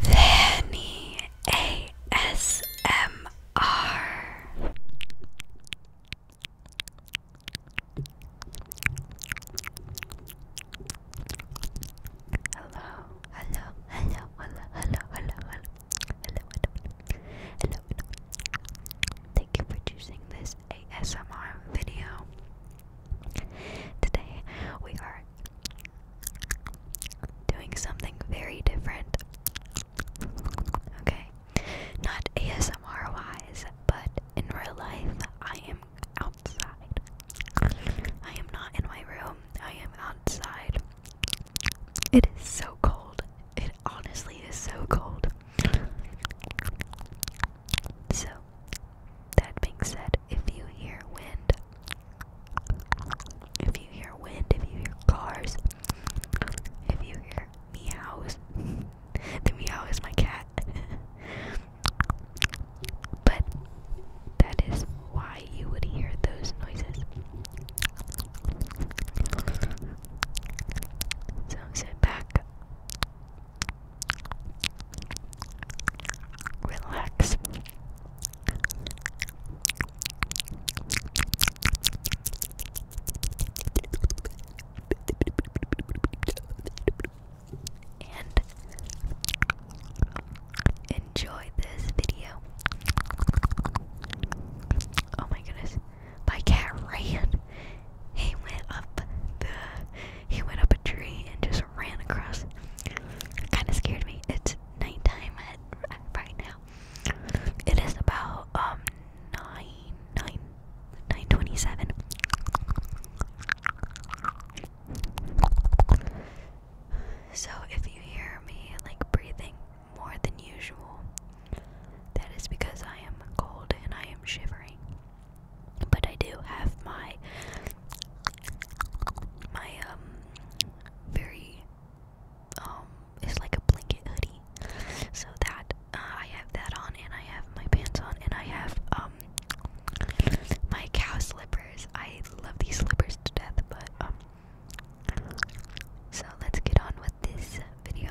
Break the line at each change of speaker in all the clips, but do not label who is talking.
Vanny ASMR. Hello, hello, hello, hello, hello, hello, hello, hello, Thank you for choosing this ASMR video. Today we are doing something very different. Okay, not ASMR wise, but in real life, I am outside. I am not in my room, I am outside. It is so cold. It honestly is so cold. So, that being said, if you hear wind, if you hear wind, if you hear cars, if you hear meows, the meow is my cat. but that is why you would hear those noises. So sit back, relax, and enjoy this video. Oh my goodness, my cat ran. He went up the he went up a tree and just ran across. Kind of scared me. It's it's nighttime at, at right now. It is about um nine nine nine twenty seven. So if you hear me like breathing more than usual, that is because I am cold and I am shivering. But I do have my my um very um it's like a blanket hoodie. So that uh, I have that on and I have my pants on and I have um my cow slippers. I love these slippers to death, but um so let's get on with this video.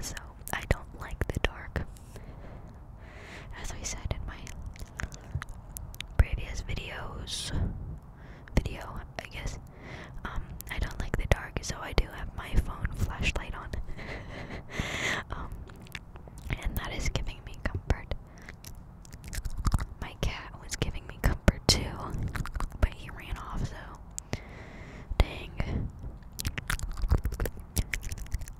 So, I don't like the dark. As I said in my previous videos, video, I guess, um, I don't like the dark, so I do have my phone flashlight on. Um, and that is giving me comfort. My cat was giving me comfort too, but he ran off, so dang.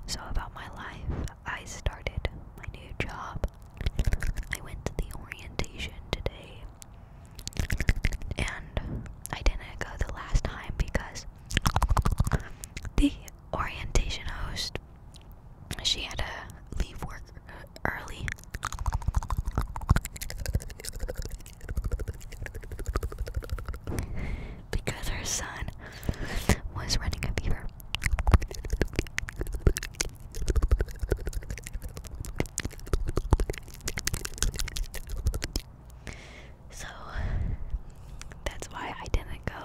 So, about my life, I started my new job. I went to the orientation today, and I didn't go the last time because the orientation host, she had to leave work uh, early. Because her son was running a fever. So that's why I didn't go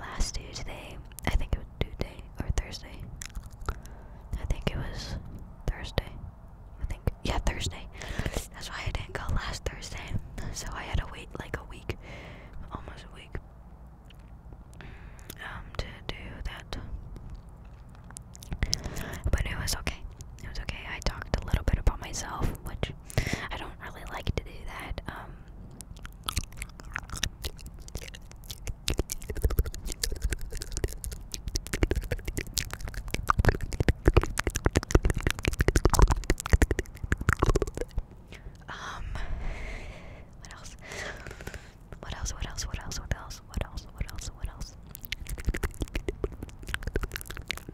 last Tuesday. I think it was Tuesday or Thursday. I think it was Thursday. I think yeah, Thursday. That's why I didn't go last Thursday. So I had to wait like a week, almost a week, um, to do that. But it was okay. It was okay. I talked a little bit about myself, which I don't really like to do that. Um. um, What else? What else? What else? What else? What else? What else? What else?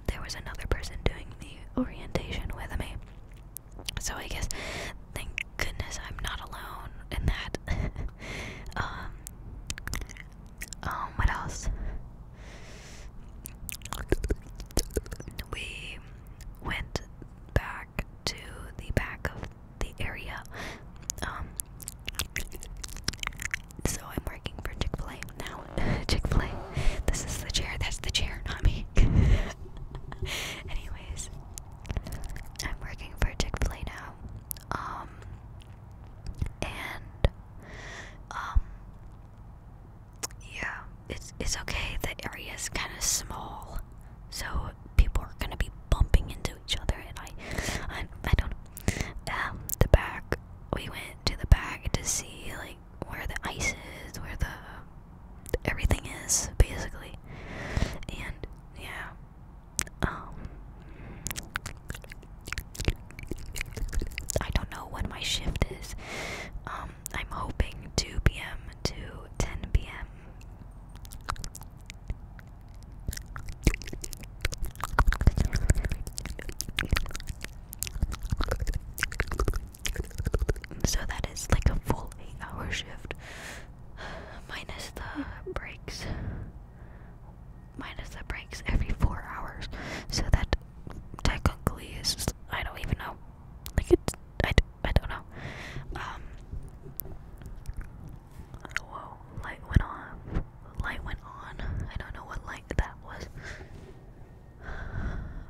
there was another person doing the orientation with me. So I guess thank goodness I'm not alone in that. um um what else? We went back to the back of the area. Um, so I'm working for Chick-fil-A now. Chick-fil-A. This is the chair. That's the chair, not me. Anyways, I'm working for Chick-fil-A now. Um and um yeah, it's it's okay. The area is kind of small. So people are gonna be bumping into each other, and I, I, don't. Um, the back. We went to the back to see like where the ice is, where the everything is, basically. And yeah, um, I don't know when my shift is. Um, I'm hoping 2 p.m. to 10 p.m. So that is like a full eight hour shift. Minus the breaks. Minus the breaks every four hours. So that technically is, I don't even know. Like it's, I, I don't know. Um, whoa, light went on. Light went on. I don't know what light that was.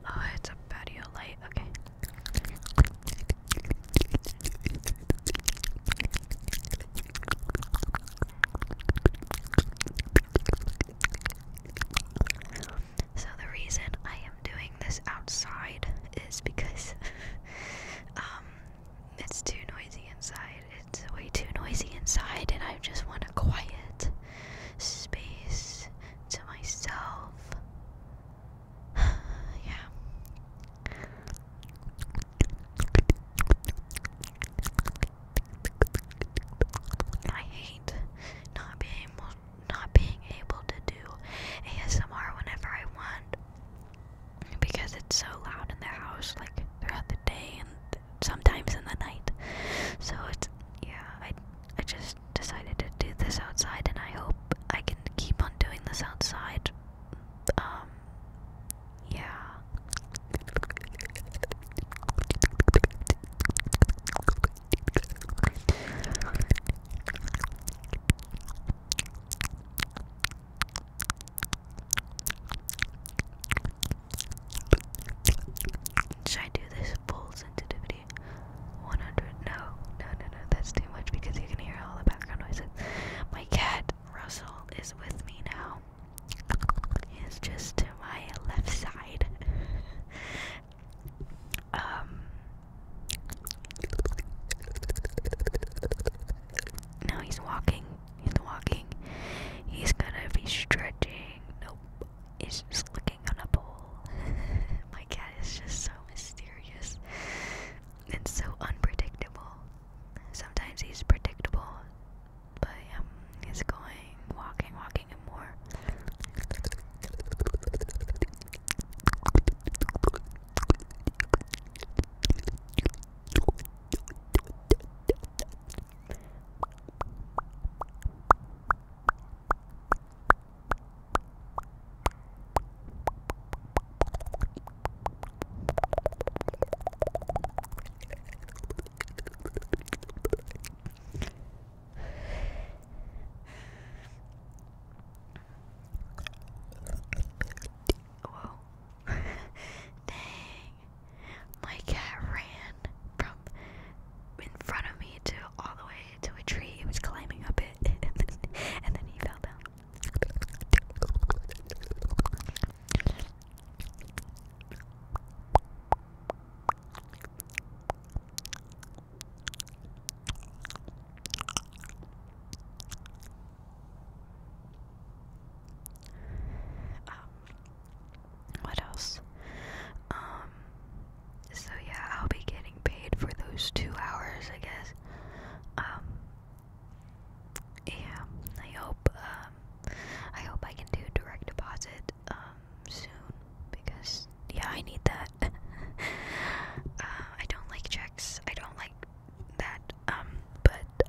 Oh, it's a patio light. Okay. So the reason I am doing this outside is because um it's too noisy inside. It's way too noisy inside and I just want to quiet space to myself. yeah. I hate not being able not being able to do ASMR whenever I want because it's so loud in the house like throughout the day and sometimes in the night. So it's yeah, I I just decided to do this outside, and I hope I can keep on doing this outside. Um, yeah. Should I do this full sensitivity? 100? No, no, no, no, that's too much because you can hear all the background noises. My cat, Russell, is with me now. He's just to my left side. um. Now he's walking. He's walking. He's gonna be stretching. Nope. He's just looking on a pole. My cat is just so mysterious and so unpredictable. Sometimes he's predictable, but um, he's going walking, walking, and more. Whoa. Dang. My cat ran from in front of me to all the way to a tree. He was climbing up it, and then, he fell down. Um, what else? Um, so yeah, I'll be getting paid for those two hours, I guess. Um, yeah, I hope, um, I hope I can do direct deposit, soon, because, yeah, I need that. Uh, I don't like checks, I don't like that, but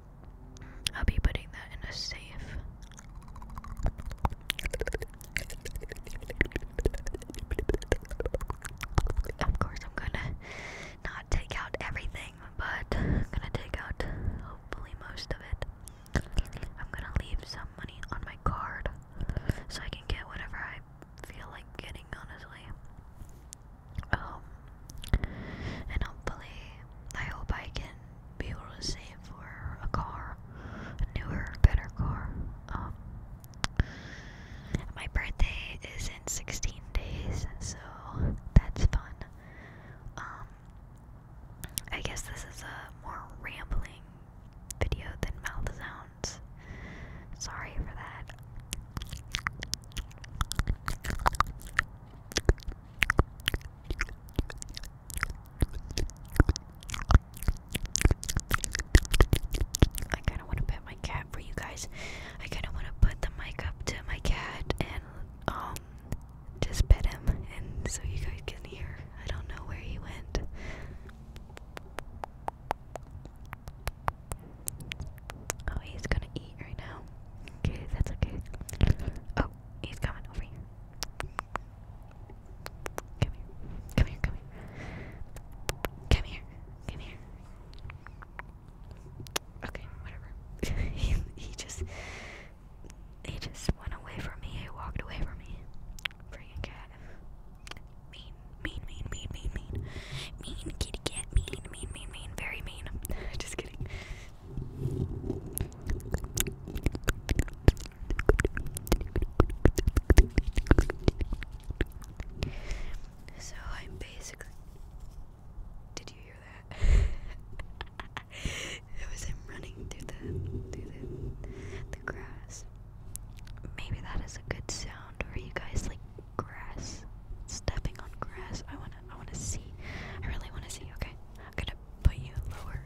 I'll be putting that in a safe. Of course, I'm gonna not take out everything, but I'm gonna take out hopefully most of it. I'm gonna leave some money on my card so I can get whatever I feel like getting, honestly. Um, and hopefully, I hope I can be able to save for a car, a newer, better car. Um, my birthday is in 16 days, so that's fun. Um, I guess this is a more rambling video than mouth sounds. Sorry for that. I kind of want to pet my cat for you guys. I kind of want to put the mic up to my cat and um just pet him, and so you guys can hear. I don't know where he went. Oh, he's gonna eat right now. Okay, that's okay. Oh, he's coming over here. Come here. Come here, come here. Come here. Come here. Okay, whatever. he, he just he just went away from me. He walked away from me. Freaking cat. Mean, mean, mean, mean, mean, mean. Mean kitty cat. Mean, mean, mean, mean. Very mean. just kidding. So I'm basically. Did you hear that? it was him running through the through the the grass. Maybe that is a good sound for you guys, like grass, stepping on grass. I wanna I wanna see. I really wanna see. Okay, I'm gonna put you lower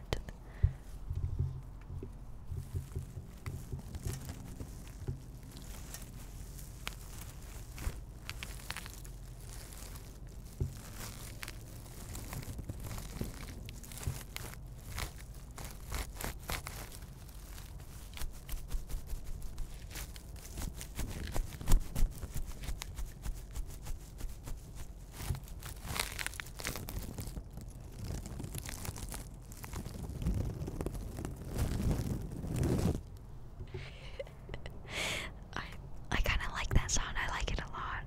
I I kind of like that sound. I like it a lot.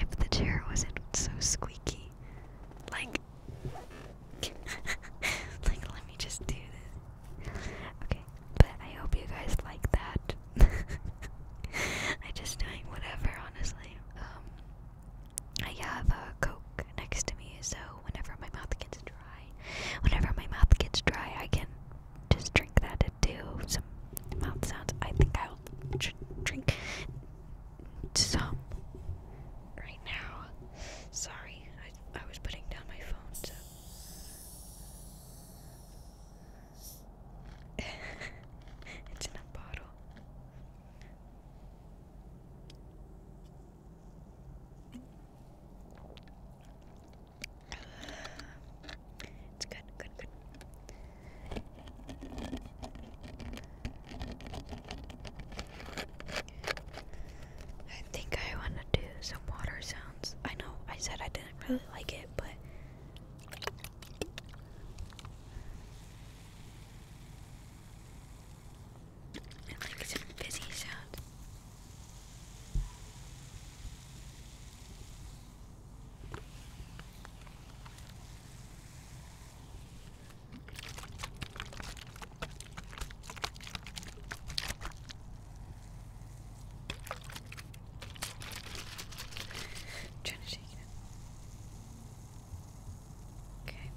If the chair wasn't so squeaky, like, like let me just do this. Okay, but I hope you guys like that. I just doing whatever, honestly. Um, I have a Coke next to me, so whenever my mouth gets dry, whenever my mouth gets dry, I can just drink that and do some mouth sounds. I think I'll drink some right now. Sorry, I, I was putting down my phone, it's in a bottle. It's good, good, good. I think I want to do some water sounds. I know I said I didn't really like it, but I like some busy sound. I'm trying to shake it up. Okay.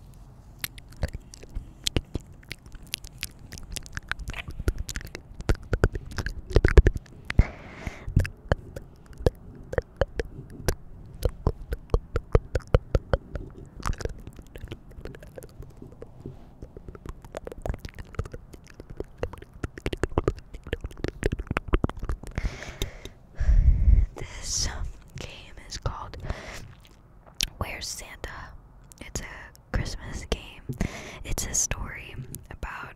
This um, game is called Where's Santa? It's a Christmas game. It's a story about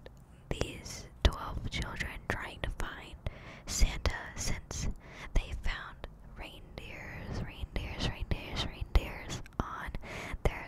these 12 children trying to find Santa since they found reindeers, reindeers, reindeers, reindeers on their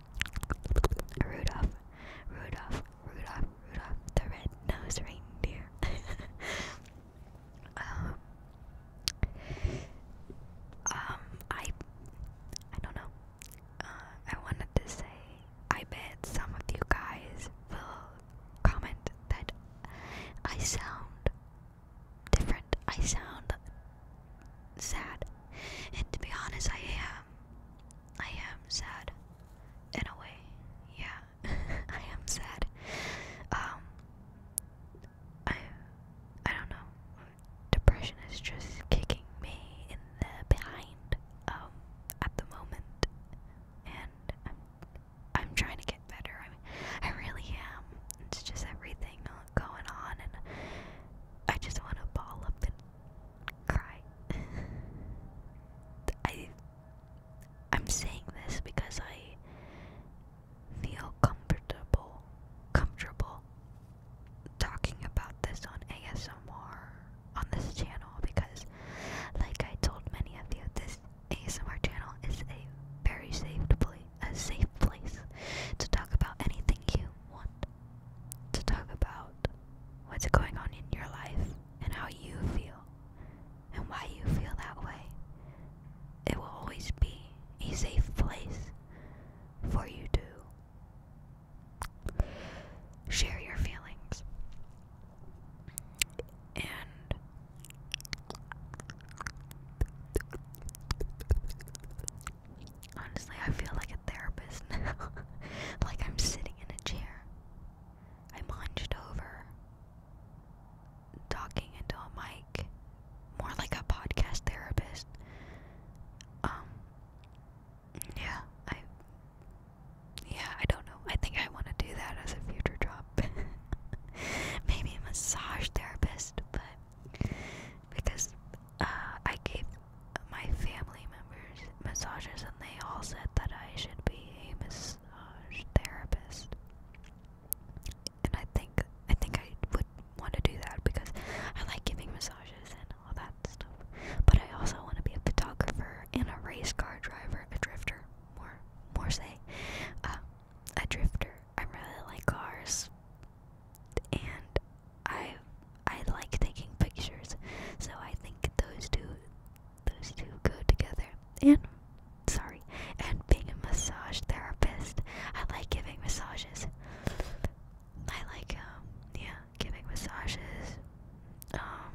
Rudolph, Rudolph, Rudolph, Rudolph, the red-nosed reindeer. um, um, I, I don't know. Uh, I wanted to say, I bet some of you guys will comment that I sound different. I sound sad. And to be honest, I am. I am sad. In a way. Yeah. I am sad. Um I I don't know. Depression is just kicking me in the behind um at the moment. And I'm I'm trying to get better. I mean, I really am. It's just everything going on and I just want to ball up and cry. I I'm saying this because I feel comfortable comfortable talking about this on ASMR on this channel because like I told many of you this ASMR channel is a very safe place a safe place to talk about anything you want to talk about what's going on in your life and how you feel and why you feel that way. It will always be a safe place for you to share your feelings. Honestly, I feel like a therapist now. like I'm sitting in a chair. I'm hunched over, talking into a mic, more like a podcast therapist. Um, yeah, I, yeah, I don't know. I think I want to do that as a future job. Maybe a massage therapist, but because uh, I gave my family members massages and they all said that I should be a massage therapist. And I think I think I would want to do that because I like giving massages and all that stuff. But I also want to be a photographer and a race car driver, a drifter, more more say, uh, a drifter. I really like cars and I I like taking pictures, so I think those two those two go together. And sorry, and being a massage therapist, I like giving massages. I like um, yeah giving massages, um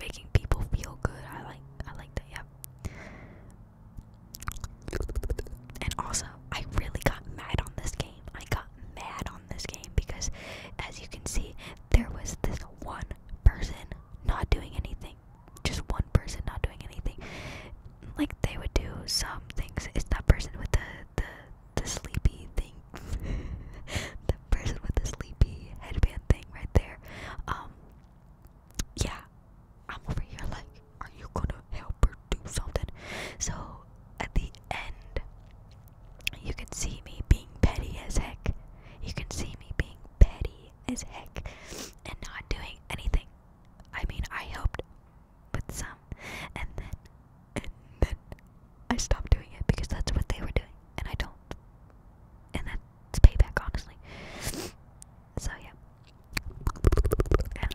making people feel good. I like I like that. Yeah. And also, I really got mad on this game. I got mad on this game because, as you can see, there was this one person not doing anything. Just one person not doing anything. Like they would do some things. It's that person with the the sleepy thing. the person with the sleepy headband thing right there. Um. Yeah, I'm over here like are you gonna help her do something? So at the end, you can see me being petty as heck. You can see me being petty as heck and not doing anything. I mean, I helped but some, and then and then I stopped doing it because that's what they were doing, and I don't. And that's payback, honestly. So yeah,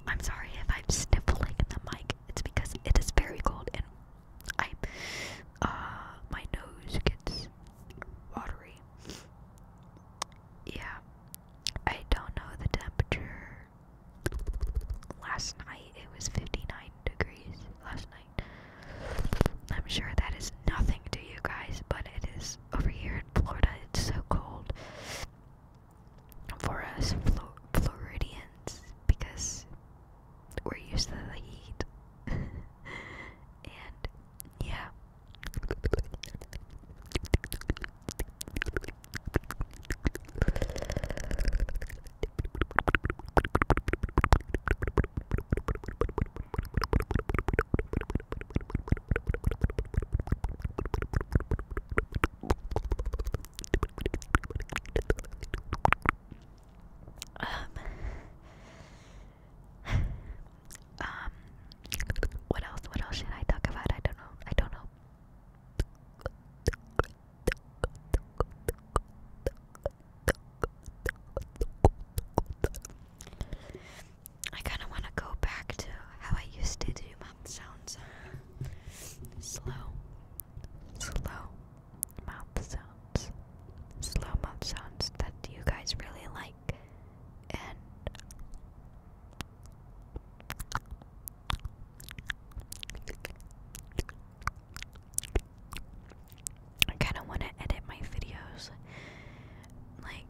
I'm sorry if I'm sniffling in the mic. It's because it is very cold and I uh my nose gets watery. Yeah. I don't know the temperature. Last night it was 59 degrees last night. I'm sure that is nothing to you guys, but it is over here in Florida. It's so cold for us Flo Floridians because we're used to the heat. and yeah. Um, um, what else? What else should I talk about? I don't know. I don't know. I kind of want to go back to how I used to do mouth sounds. Slow, slow mouth sounds. Slow mouth sounds that you guys really like. And I kind of want to edit my videos. Like,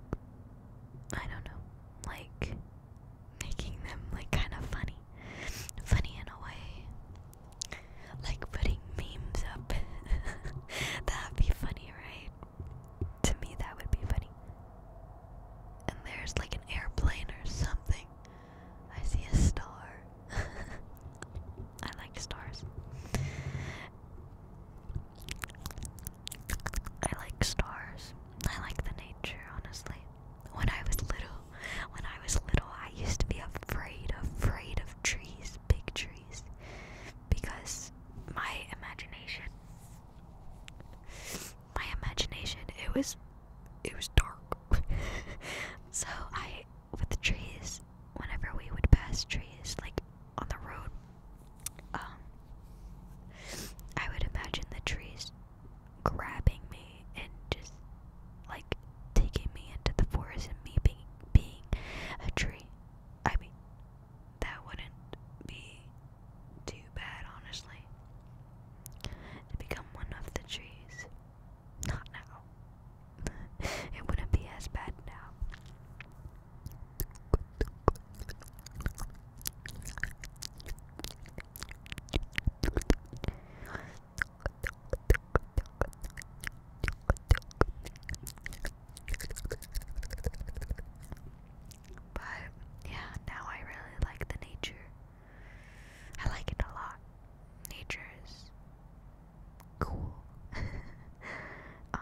I don't know. Like, making them like kind of funny, funny in a way, like putting memes up. That'd be funny, right? To me, that would be funny. And there's like an airplane or something. I see a star. I like stars. I like stars. I like the nature, honestly. When I was little, when I was little, I used to be afraid, afraid of trees, big trees, because my imagination, my imagination, it was, it was dark. so I, with the trees, whenever we would pass trees, like on the road, um, I would imagine the trees grabbing me and just like taking me into the forest and me being being a tree. I mean, that wouldn't be too bad, honestly. To become one of the trees. Not now. it wouldn't be as bad now. But yeah, now I really like the nature. I like it a lot. Nature's cool. um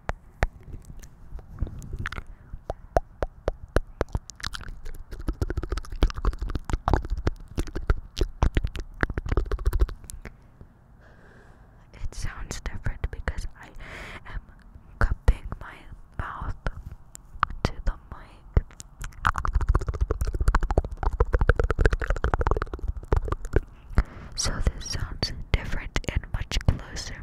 It sounds different because I am cupping my mouth to the mic. So this sounds different and much closer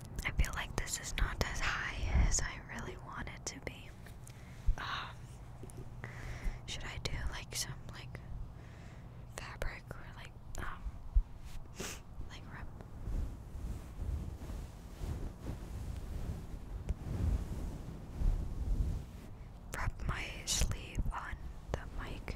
I feel like this is not as high as I really want it to be. Um, should I do like some like fabric or like um like rub? Rub my sleeve on the mic.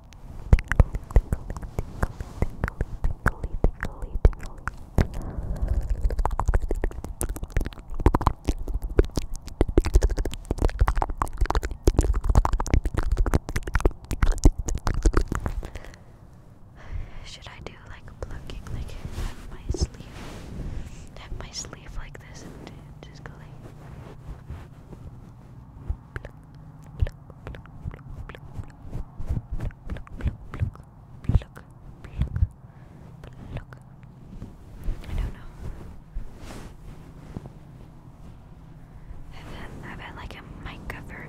Should I do like plucking, like have my sleeve, have my sleeve like this, and just go like? I don't know. I've i had like a mic cover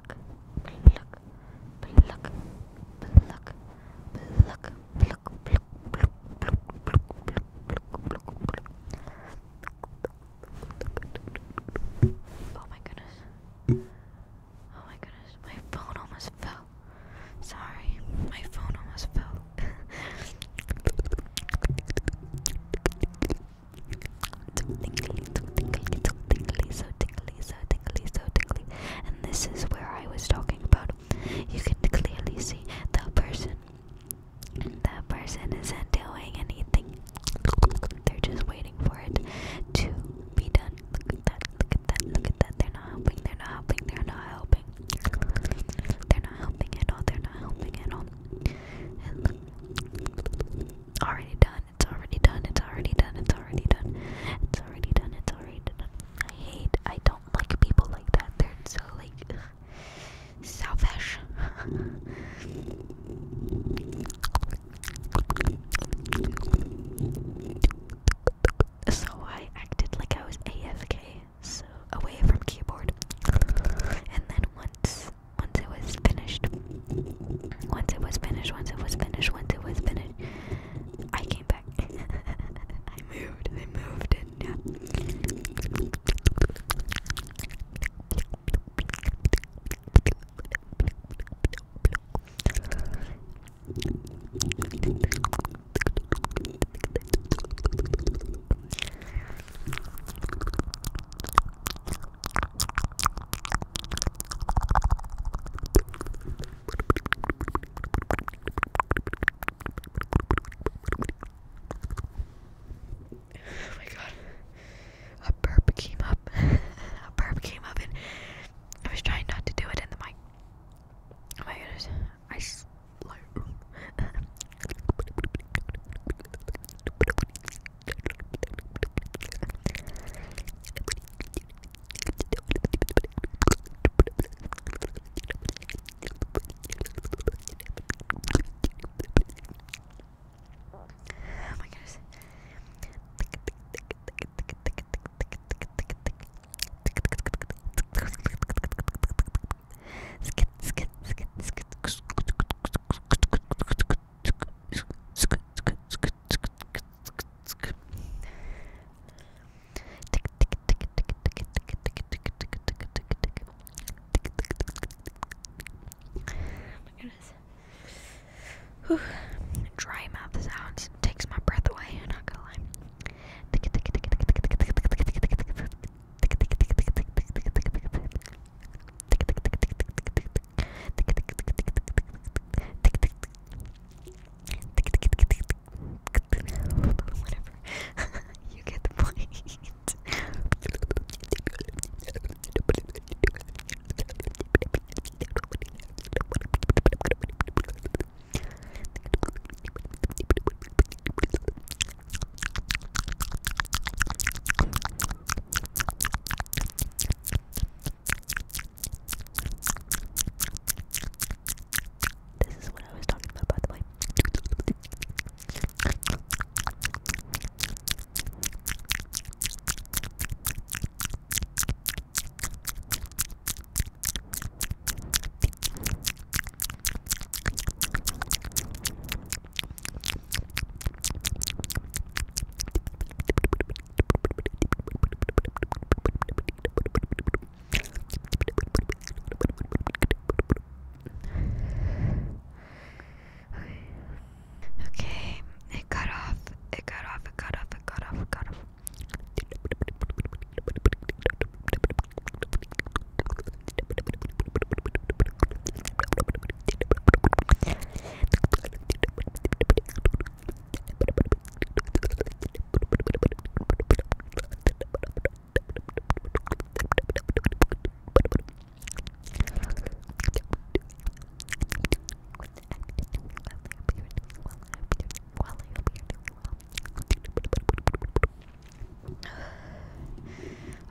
Oh my goodness. Oh my goodness. My phone almost fell. Sorry. My phone almost fell. so tingly, so tingly, so tingly, so tingly, so tingly, And this is where I was talking about. You can clearly see the person. That person isn't doing anything. They're just waiting for it to be done. Look at that, look at that, look at that. They're not helping, they're not helping, they're not helping. They're not helping at all, they're not helping at all. already done done, it's already done, it's already done, it's already done, it's already done, it's already done. I hate, I don't like people like that. They're so like ugh, selfish. so I acted like I was AFK, so away from keyboard. And then once once it was finished once it was finished once it was finished once it was finished I came back I moved I moved it yeah Oh my god. A burp came up. a burp came up and I was trying not to do it in the mic. Oh my goodness. I slurp. Oh my goodness. Skit, skit, skit, skit. my goodness. Whew. Dry mouth sounds takes my breath away, I'm not gonna lie. Whatever. you get the point. This is what I was talking about, by the way. Okay, it cut off, it cut off, it cut off, it cut off, it cut off.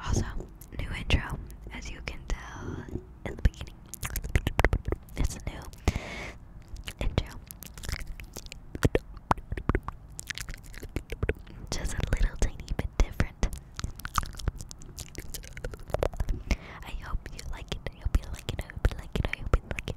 Also, new intro, as you can tell in the beginning. It's a new Just a little tiny bit different. I hope you like it. I hope you like it. I hope you like it. I hope you like it.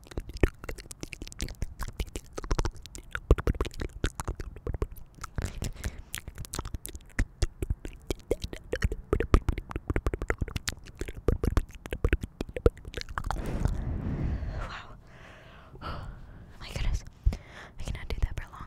Wow. My goodness. I cannot do that for long.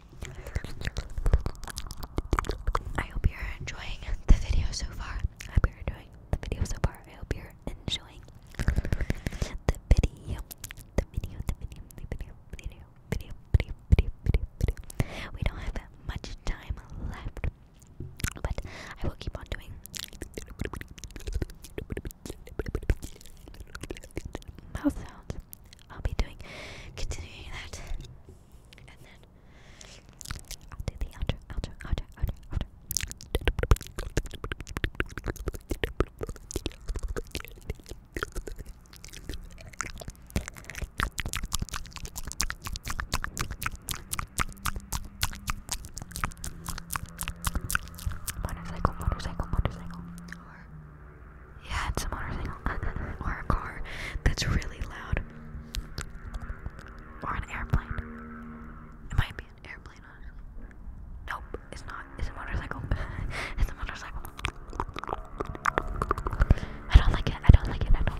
I hope you're enjoying the video so far. I hope you're enjoying the video so far. I hope you're enjoying the video. The video, the video, the video, video, video, video, video, video, video. We don't have much time left, but I will keep on doing mouth sounds I'll be doing continuing that. And then I'll do the outro, outro, outro, outro, outro. Motorcycle, motorcycle, motorcycle. Yeah, it's a motorcycle or a car that's really loud. Or an airplane. It might be an airplane, Nope, it's not. It's a motorcycle. it's a motorcycle. I don't like it. I don't like it. I don't.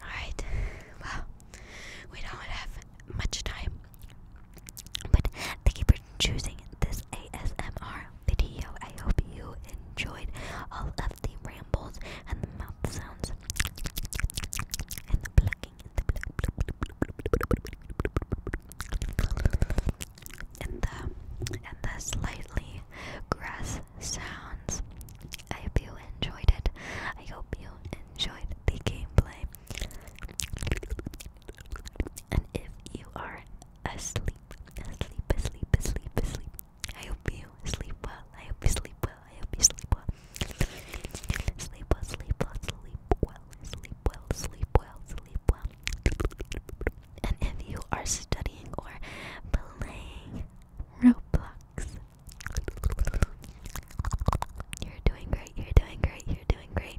Alright, well, we don't have much time but thank you for choosing this ASMR video. I hope you enjoyed all of the rambles and the mouth sounds and the and the and the slightly grass sounds. I hope you enjoyed it. I hope you enjoyed the gameplay. And if you are asleep, asleep, asleep, asleep, asleep, I hope you sleep well. I hope you sleep well. I hope you sleep well. Sleep well, sleep well, sleep well, sleep well, sleep well, sleep well. And if you are studying or playing Roblox, you're doing great, you're doing great, you're doing great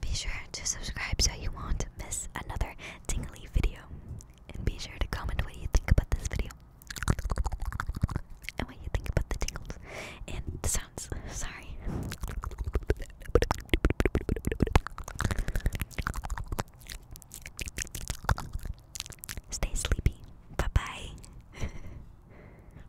Be sure to subscribe so you won't miss another tingly video. And be sure to comment what you think about this video. And what you think about the tingles. And the sounds. Sorry. Stay sleepy. Bye bye.